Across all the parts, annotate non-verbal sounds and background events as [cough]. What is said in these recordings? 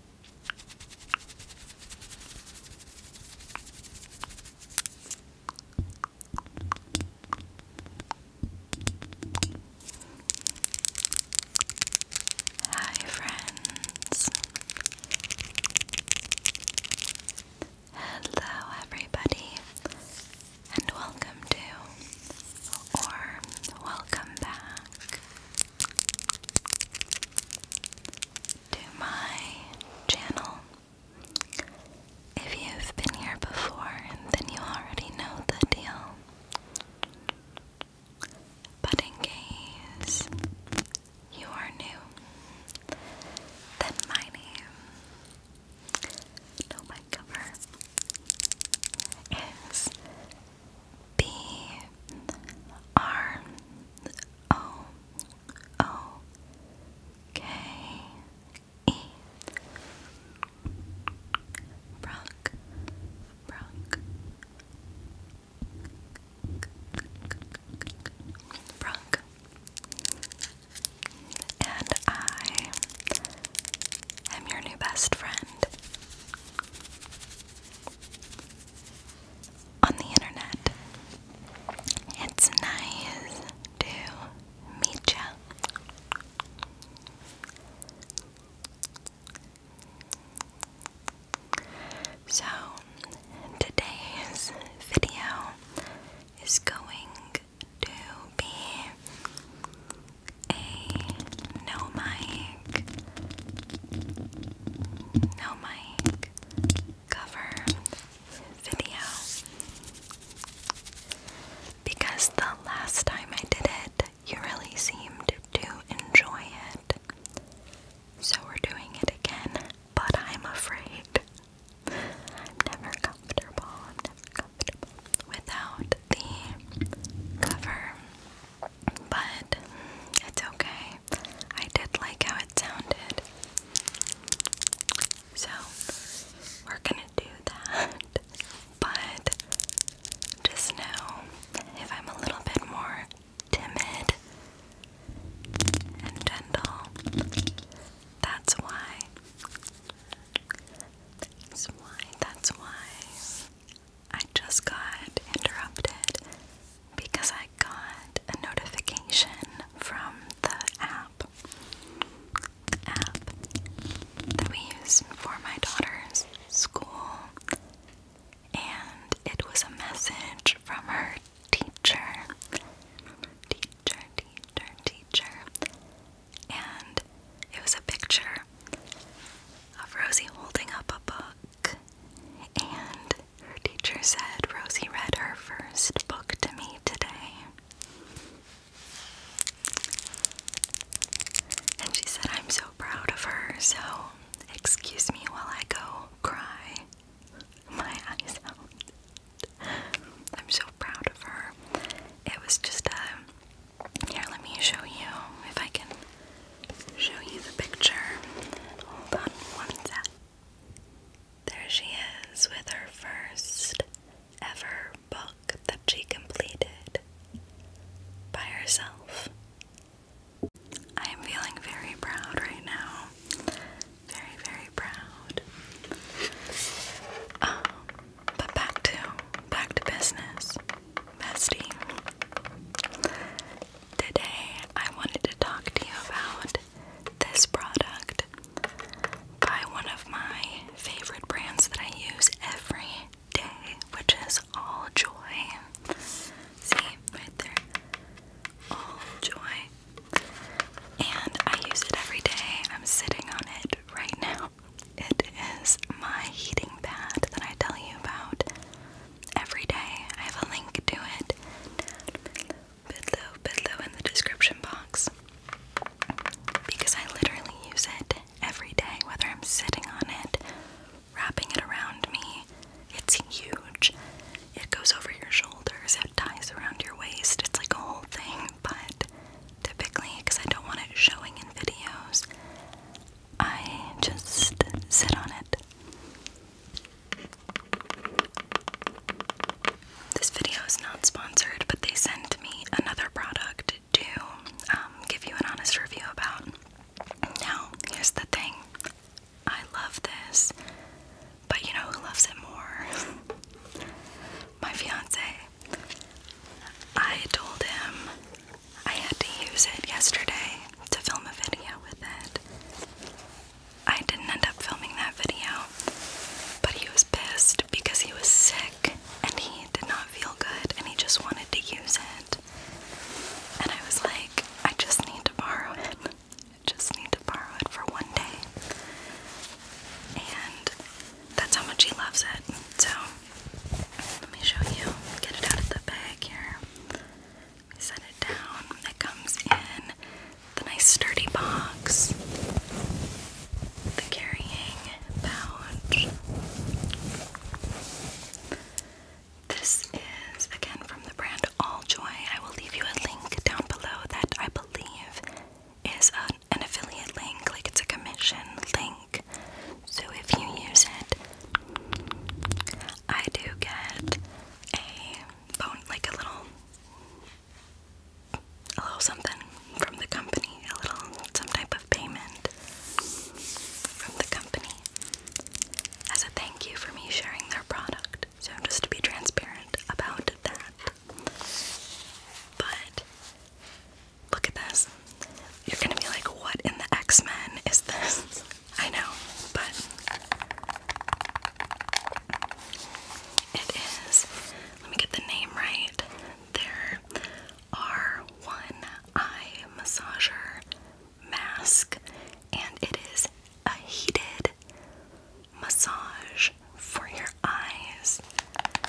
Hi, friends. Hello, everybody, and welcome to or welcome back to my channel. If you've been here before, then you already know the deal. But in case you are new, then my name, no, my cover, is B R O O K E Brock Brock Brock and I am your new best friend on the internet. It's nice to meet you. So, today's video is going to be a no my no mic. Cover video. Because the last time I did it, you really seemed to enjoy it. So we're doing it again, but I'm afraid. I'm never comfortable without the cover but it's okay. I did like how it sounded. So, we're gonna do that. [laughs] But just know if I'm a little bit more timid and gentle, that's why. That's why, that's why I just got interrupted because I got a notification from the app app that we use for my daughter's school and it was a message from her teacher teacher teacher teacher and it was a picture of Rosie holding up a book and her teacher said Rosie read her first book to me today. And she said, I'm so proud of her, so excuse me while I go cry my eyes I'm so proud of her. It was just a. Here, let me show you if I can show you the picture. Hold on one sec. There she is with her first ever book that she completed by herself. I am feeling very proud right now. Very, very proud. Um, but back to back to business bestie. Today I wanted to talk to you about this product by one of my favorite brands that I use every day, which is All Joy. See, right there. All Joy. And I use it every day. I'm sitting on it right now. It is my heating pad that I tell you about every day. I have a link to it below, below in the description box because I literally use it every day, whether I'm sitting on it, wrapping it around me. It's huge. It goes over your shoulders, it ties around your waist. It's like a whole thing, but typically, because I don't want it showing in videos, I just sit on it. This video is not sponsored, but they sent me another product to um, give you an honest review about. Now, here's the thing I love this, but you know who loves it more? [laughs] My fiance. I told him I had to use it yesterday to film a video with it. I didn't end up filming that video, but he was pissed because he was sick and he did not feel good and he just wanted to use it. And I was like, I just need to borrow it. I just need to borrow it for one day. And that's how much he loves it. So let me show you. Get it out of the bag here. set it down. It comes in the nice sturdy box. The carrying pouch. This is again from the brand All Joy. I will leave you a link down below that I believe is an affiliate link, like it's a commission link. So if you use it, I do get a bone, like a little, a little something from the company, a little some type of payment from the company as a thank you for me sharing their product. So just to be transparent about that. But Look at this. You're gonna be like, what in the X-Men is this? [laughs] I know, but it is, let me get the name right. There are one eye massager mask, and it is a heated massage for your eyes.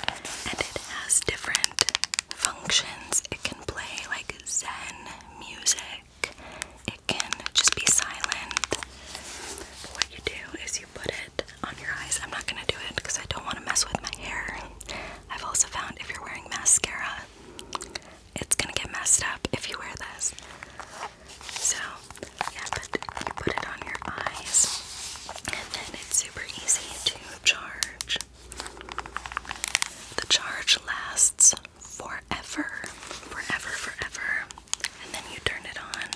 And it has different functions. It can play like zen music. It can just be silent. What you do is you put it on your eyes. I'm not gonna do it because I don't want to mess with my hair. I've also found if you're wearing mascara, it's gonna get messed up if you wear this. So, yeah, but you put it on your eyes, and then it's super easy to charge. The charge lasts forever, forever, forever. And then you turn it on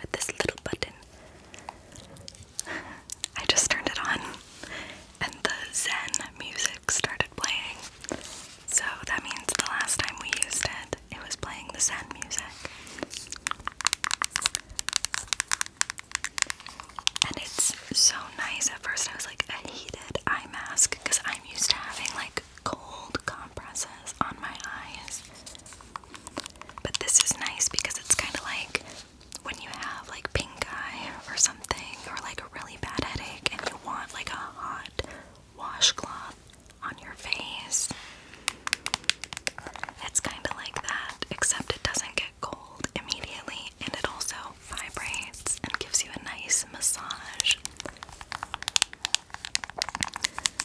with this little button. [laughs] I just turned it on and the Zen music started playing. So that means the last time we used it, it was playing the Zen music. And it's so nice. At first, I was like a heated eye mask because I'm used to having like cold compresses on my eyes. But this is nice because it's kind of like when you have like pink eye or something, or like a really bad headache, and you want like a hot washcloth on your face. It's kind of like that, except it doesn't get cold immediately, and it also vibrates and gives you a nice massage.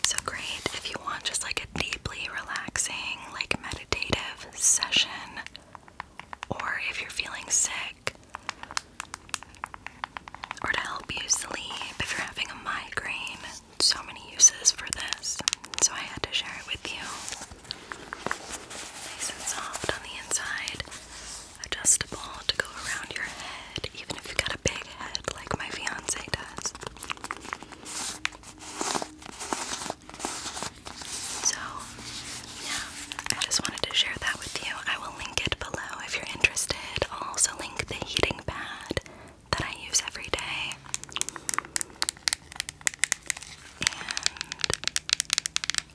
So great if you want just like a deeply relaxing, like meditative session, or if you're feeling sick, or to help you sleep if you're having a migraine. So many uses for this, so I had to share it with you. Nice and soft on the inside, adjustable to go around your head, even if you've got a big head like my fiance does. So, yeah, I just wanted to share that with you. I will link it below if you're interested. I'll also link the heating pad that I use every day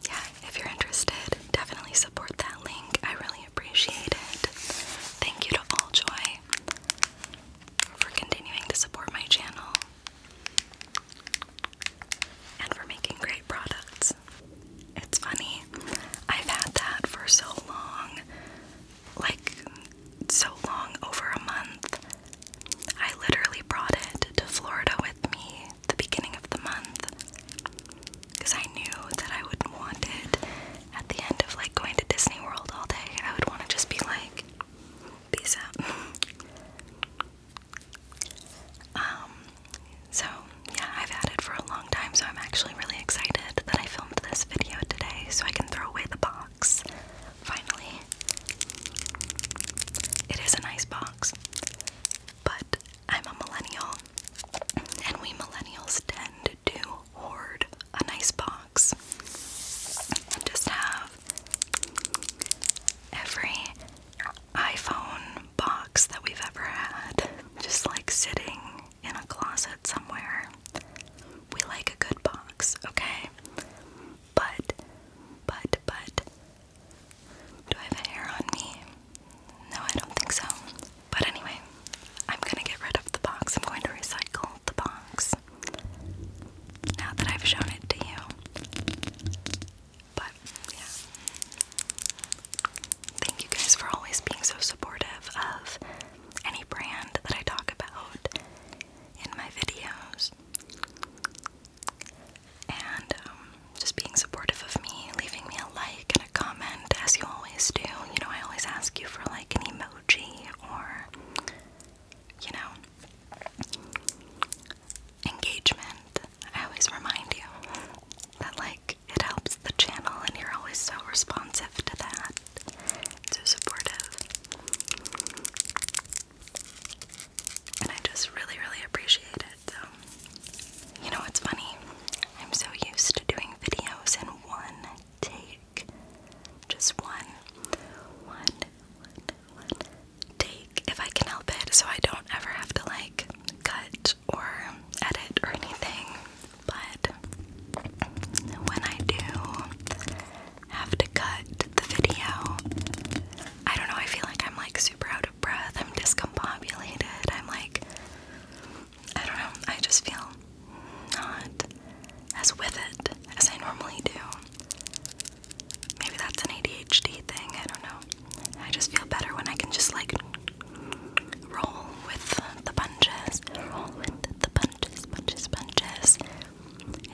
yeah, if you're interested, definitely support that link. I really appreciate it. Thank you to All Joy for continuing to support my channel and for making great products. It's funny, I've had that for so long like, so long over a month I literally brought it to Florida with me the beginning of the month because I knew that I would want it at the end of like going to Disney World all day. I would want to just be like, peace out. [laughs] um, so yeah, I've had it for a long time, so I'm actually really excited that I filmed this video today so I can throw away the box finally. It is a nice box, but I'm a millennial, and we millennials tend to hoard a nice box and just have every iPhone box that we've ever had just like sitting in a closet somewhere. We like a good box, okay? But, but, but, do I have hair on me? No, I don't think so. But anyway, I'm gonna get rid of the box. I'm going to recycle the box now that I've shown it to you. But yeah. Thank you guys for always being so supportive of any brand that I talk about in my videos and um, just being supportive of me, leaving me a like and a comment as you always do. You know, I always ask you for like an emoji or, you know, engagement. I always remind you that like it helps the channel and you're always so responsive to that. So supportive. And I just really, really appreciate it. So, you know what's funny? I'm so used to doing videos in one take. Just one, one, one, one take if I can help it, so I don't ever have to like cut or edit or anything. But when I do, have to cut the video. I don't know, I feel like I'm like super out of breath. I'm discombobulated. I'm like, I don't know, I just feel not as with it as I normally do. Maybe that's an ADHD thing, I don't know. I just feel better when I can just like roll with the punches, roll with the punches, punches, punches,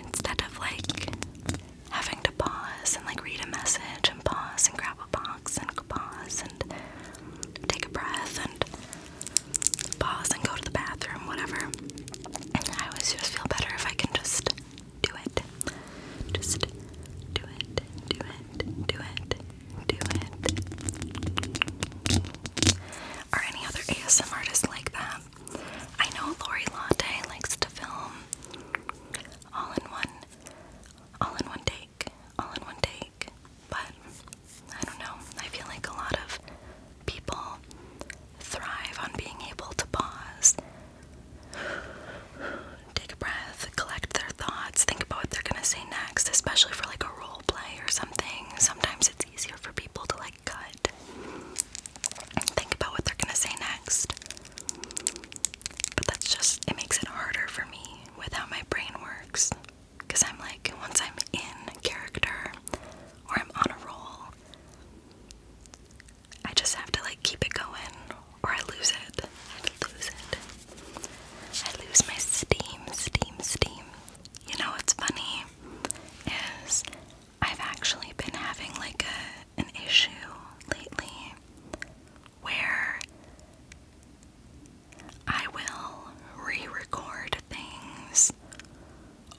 instead of like having to pause and like read a message and pause and grab a box and pause and take a breath and pause and go to the bathroom, whatever. And I always just feel better if I can just do it. Just do it, do it, do it, do it. Are any other ASMR artists like that? I know Lori Latte likes to film all in one, all in one take, all in one take. But I don't know. I feel like a lot of people thrive on being able to pause, take a breath, collect their thoughts, think about what they're gonna say next, especially for like a role play or something. Sometimes it's easier for people to like cut. Think about what they're gonna say next. But that's just, it makes it harder for me with my brain works. Because I'm like, once I'm in character or I'm on a roll, I just have to like keep it going or I lose it. I lose it. I lose my steam, steam, steam. You know what's funny is I've actually been having like a an issue lately where I will re record things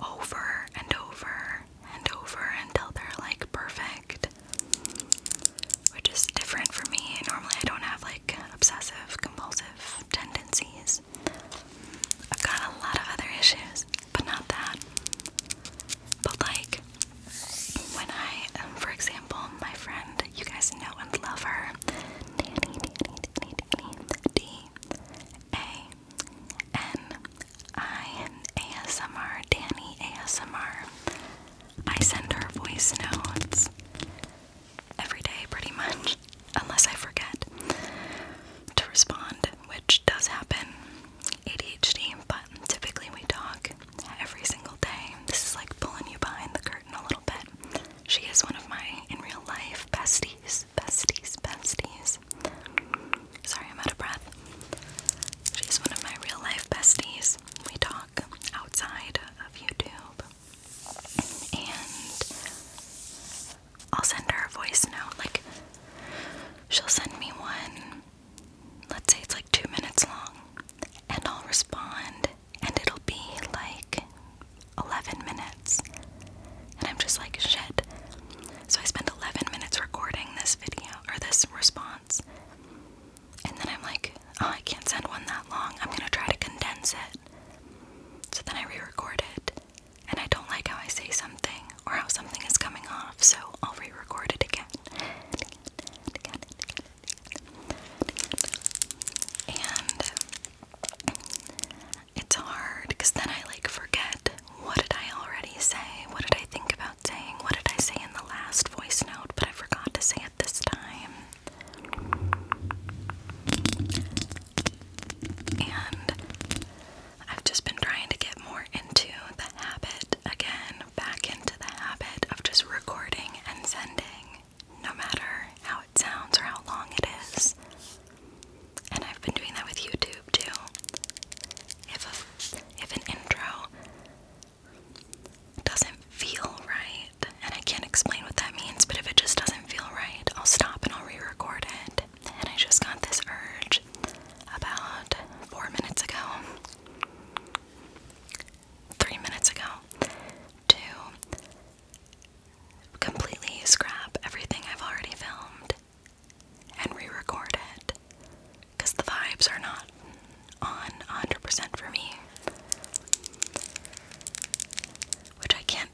over and over and over until they're like perfect, which is different for me. Normally, I don't have like obsessive compulsive tendencies, I've got a lot of other issues but not that. But like when I, for example, my friend, you guys know and love her, Danny, Danny, Danny, I send her voice notes every day, pretty much, unless I forget to respond, which does happen. ADHD, but typically we talk every single day. This is like pulling you behind the curtain a little bit. She is one of my in real life besties, besties, besties. Sorry, I'm out of breath. She's one of my real life besties. We talk outside of YouTube. And I'll send her a voice note. Like, She'll send me one, let's say it's like two minutes long, and I'll respond, and it'll be like 11 minutes. And I'm just like, shit. So I spend 11 minutes recording this video or this response. And then I'm like, oh, I can't send one that long. I'm going to try to condense it. So then I re record it and I don't like how I say something or how something is coming off, so I'll re record it again. And it's hard because then I like forget what did I already say? What did I think about saying? What did I say in the last voice note, but I forgot to say it this time? And I've just been trying to get more into the habit again, back into the habit of just recording and sending, no matter how it sounds or how long it is. And I've been doing that with YouTube too. If if an intro doesn't feel right, and I can't explain what that means, but if it just doesn't feel right, I'll stop and I'll re-record it and I just got this urge about four minutes ago, three minutes ago, to completely scrap everything I've already filmed and re record it because the vibes are not on 100% for me. Which I can't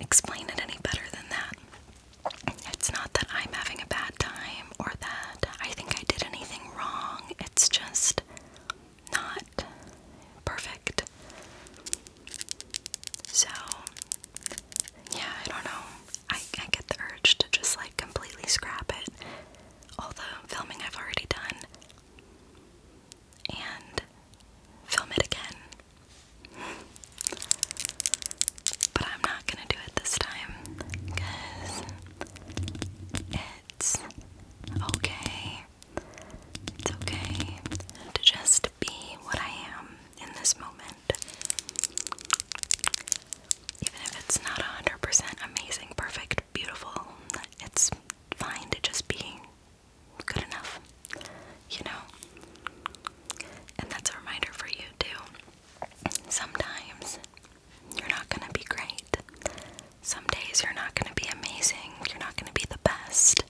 explain it any better than that. It's not that I'm having a bad time or that I think I did anything wrong. It's just not perfect. So, yeah, I don't know. I, I get the urge to just like completely scrap it, all the filming I've already done, and film it again. But I'm not gonna do it this time because it's okay. It's okay to just be what I am in this moment. Even if it's not 100% amazing, perfect, beautiful, it's fine to just be good enough, you know? And that's a reminder for you, too. Sometimes you're not going to be great. Some days you're not going to be amazing. You're not going to be the best.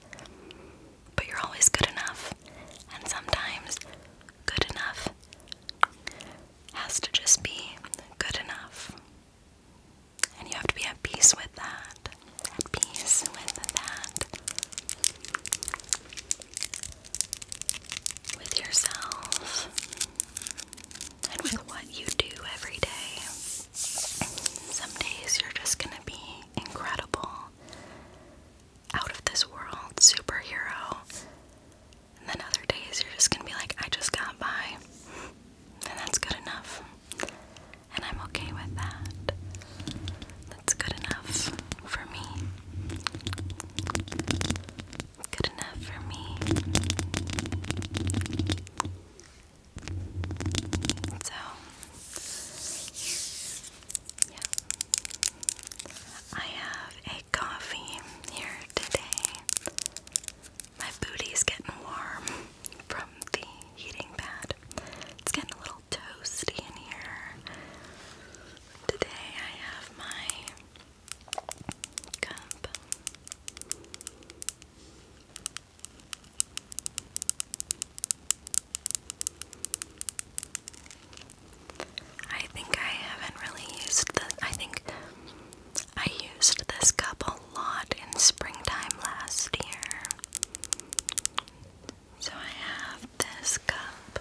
But you're always good enough. And sometimes good enough has to just be good enough. And you have to be at peace with that. At peace with that with yourself and with what you do every day. Some days you're just going to be incredible, out of this world, superhero. And then other days you're just going to be like, I just got by. And that's good enough. And I'm okay with that. That's good enough for me. Good enough for me. So, yeah. I have a coffee here today. My booty's getting warm from the heating pad. It's getting a little little toasty in here. Today I have my cup. I think I haven't really used this. I think I used this cup a lot in springtime last year. So I have this cup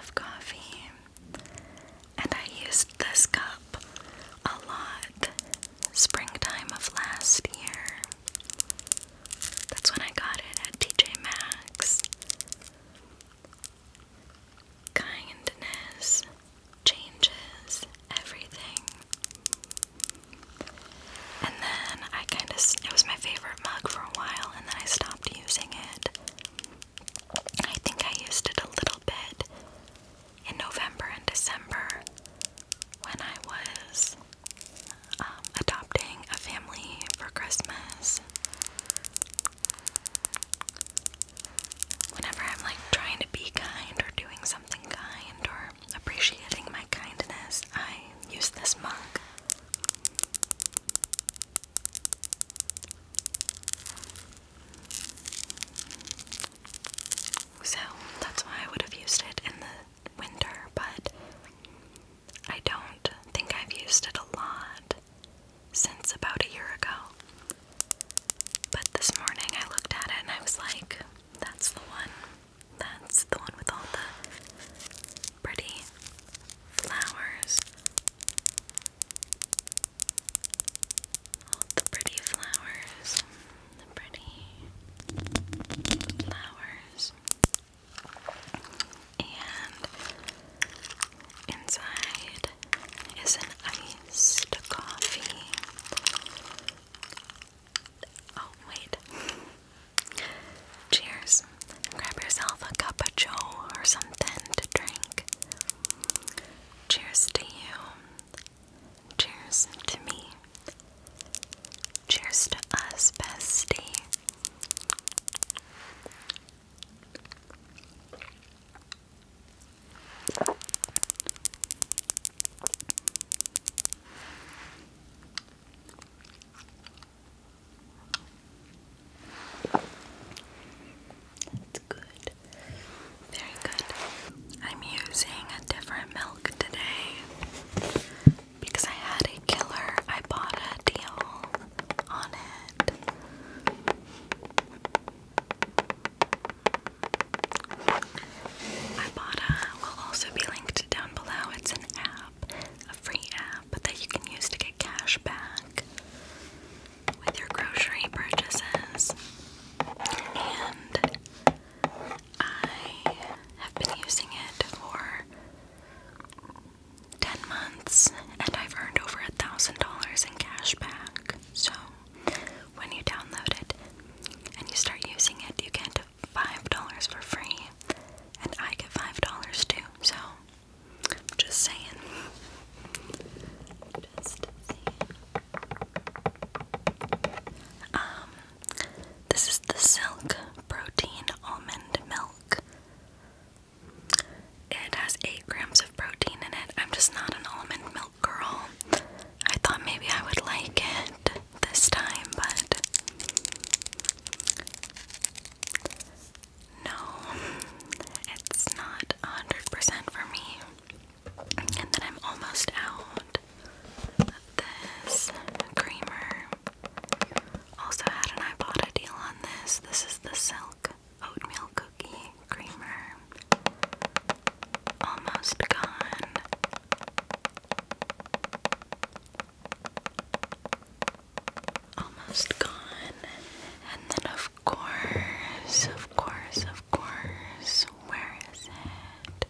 of coffee, and I used this cup a lot springtime of last year. That's when I got it at TJ Maxx. Kindness changes everything. And then I kind of, it was my favorite mug for a while, and then I stopped using it. I think I used it a little bit in November and December when I was um, adopting a family for Christmas. Whenever I'm like trying to be kind or doing something kind or appreciating my kindness, I use this mug. So that's why I would have used it in the winter, but I don't think I've used it a lot since about a year ago. But this morning I looked at it and I was like, that's the one. That's the one with all the pretty flowers. All the pretty flowers. The pretty flowers. And inside is an iced coffee. Oh, wait. Cheers. Grab yourself a cup of joe or something to drink. Cheers to you. Cheers to me. Cheers to us, bestie. That's good. Very good. I'm using a different milk today because I had a killer. I bought a deal on it. I will also be linked down below. It's an app a free app that you can use to get cash back with your grocery purchases. And I have been using it for 10 months and I've earned over a thousand dollars in cash back. So when you download it and you start using it, you get $5 for free and I get five dollars too, so just saying. Um this is the silk protein almond milk. It has eight grams of protein in it. I'm just not an almond milk girl. I thought maybe I would like it this time, but no, it's not 100% for me. And then I'm almost out of this creamer. Also, had an iPod bought deal on this. This is the Silk Oatmeal Cookie Creamer. Almost gone almost gone. And then, of course, of course, of course, where is it?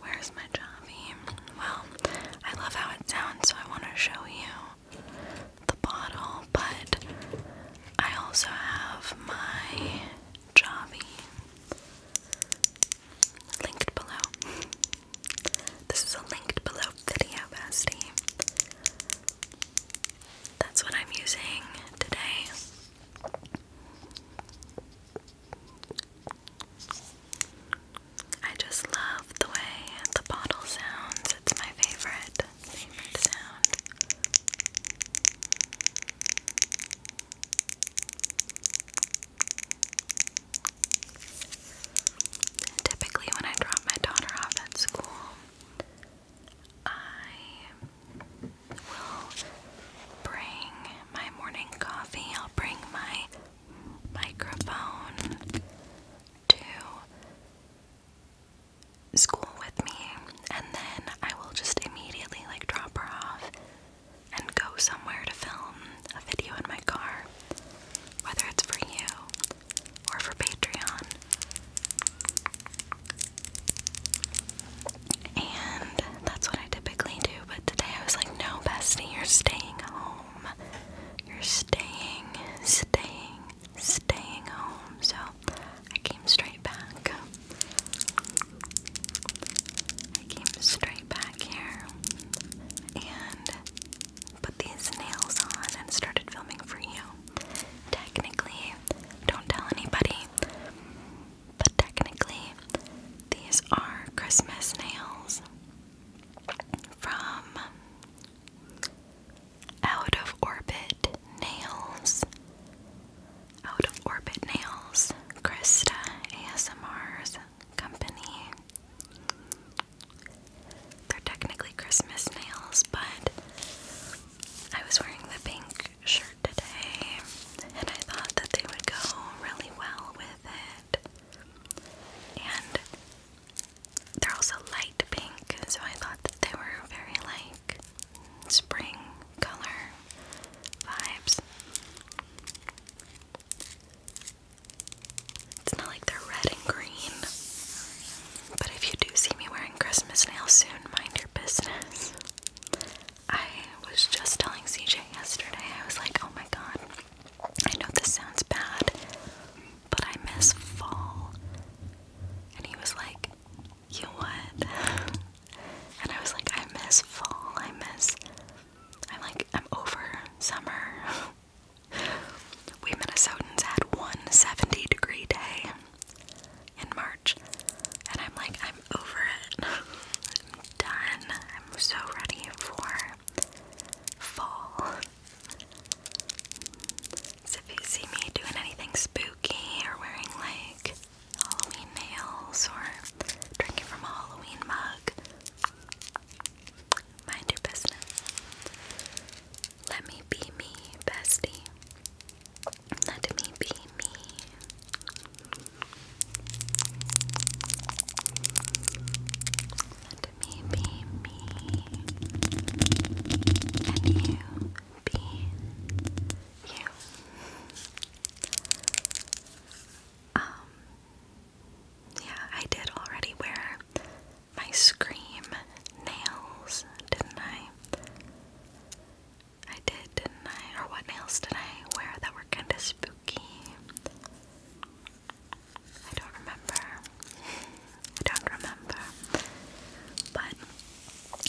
Where's my Javi? Well, I love how it sounds, so I want to show you the bottle, but I also have my Javi linked below. This is a linked below video, bestie. That's what I'm using today. I just love the way the bottle sounds. It's my favorite, favorite sound. Typically, when I drop my daughter off at school, I will bring my morning coffee. I'll bring my microphone to school with me, and then I will just immediately like drop her off and go somewhere to film a video in my car whether it's for you or for Patreon. And that's what I typically do, but today I was like, no, Bestie, you're staying home. You're staying, staying, staying home. So I came straight back. I came straight back here. And put these nails on and started filming for you. Technically, don't tell anybody, but technically, these are Christmas nails from Out of Orbit Nails. Out of Orbit Nails, Krista ASMR's company. They're technically Christmas nails, but I was wearing the pink shirt today and I thought that they would go really well with it. And they're also light pink, so I thought that they were very like spring color vibes. It's not like they're red and green. But if you do see me wearing Christmas nails soon, mind your business. I was just telling CJ yesterday, I was like, oh my god, I know this sounds bad, but I miss fall. And he was like, you would?" [laughs] And I was like, I miss fall. I miss. I'm like, I'm over summer. [laughs] We Minnesotans had one 70 degree day in March, and I'm like, I'm over it. [laughs] I'm done. I'm so ready for fall. So if you see me doing anything spooky or wearing like Halloween nails or drinking from a Halloween mug, Mind your business. Let me be me, bestie. Let me be me. Let me be me. And you be you. Um, yeah, I did already wear my Scream nails, didn't I? I did, didn't I? Or what nails did I wear that were kind of spooky? I don't remember. I don't remember. But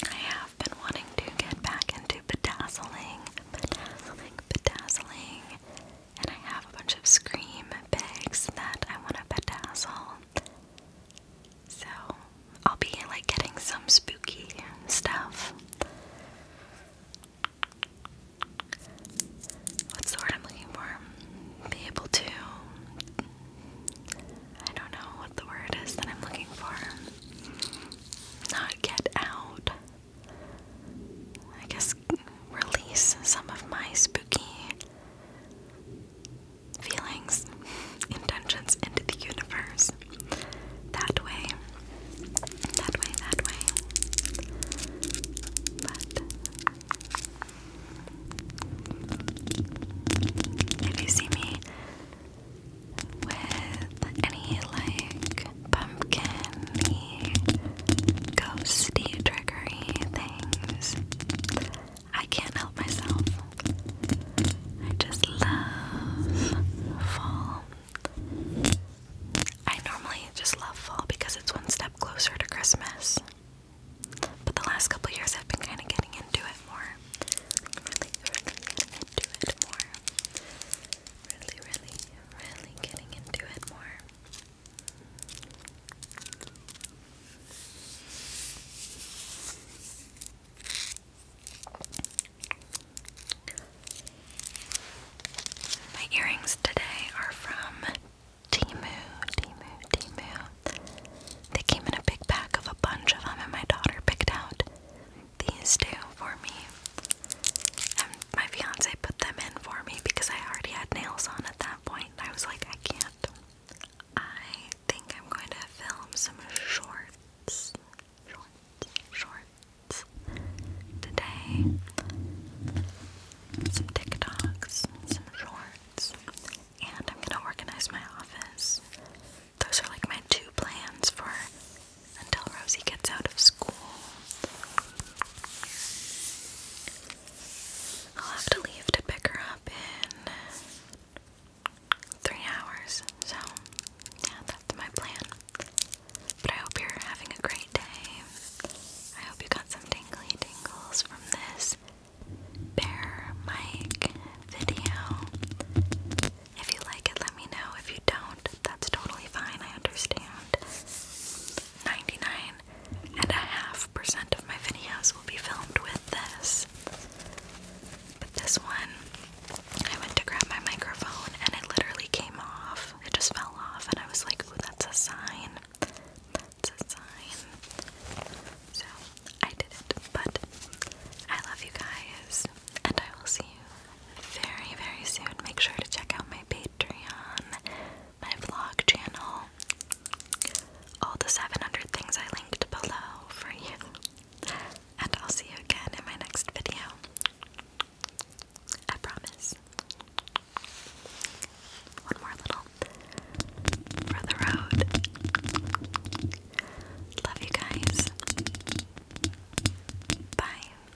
I have been wanting to get back into bedazzling, bedazzling, bedazzling. And I have a bunch of Scream bags that I want to bedazzle. So I'll be like getting some spooky stuff. What's the I'm looking for? Be able to. I don't know what the word is that I'm looking for. Not get out, I guess, release some of my spooky feelings, [laughs] intentions into the universe. That way, that way, that way. But if you see me with any like pumpkin ghosty trickery things. I can't help myself. I just love fall. I normally just love fall because it's one step closer to Christmas. But the last couple years I've been kind of getting into it more. Really, really, really getting into it more. My earrings today are from Timu, Timu, Timu. They came in a big pack of a bunch of them, and my daughter picked out these two for me. And my fiance put them in for me because I already had nails on at that point. I was like, I can't. I think I'm going to film some shorts, shorts, shorts today. Some TikToks, some shorts, and I'm gonna organize my office. Those are like my two plans for until Rosie gets out of school. I'll have to leave to pick her up in three hours, so yeah, that's my plan. But I hope you're having a great day. I hope you got some tingly tingles from this bear mic video. If you like it, let me know. If you don't, that's totally fine. I understand. Ninety nine and a half percent of my videos will be filmed with this. But this one, I went to grab my microphone and it literally came off. It just fell off, and I was like, ooh, that's a sign. That's a sign. So I did it. But I love you guys, and I will see you very, very soon. Make sure to check out my Patreon, my vlog channel, all the 700 things I linked below for you. And I'll see you again in my next video. I promise. One more little for the road. Love you guys. Bye.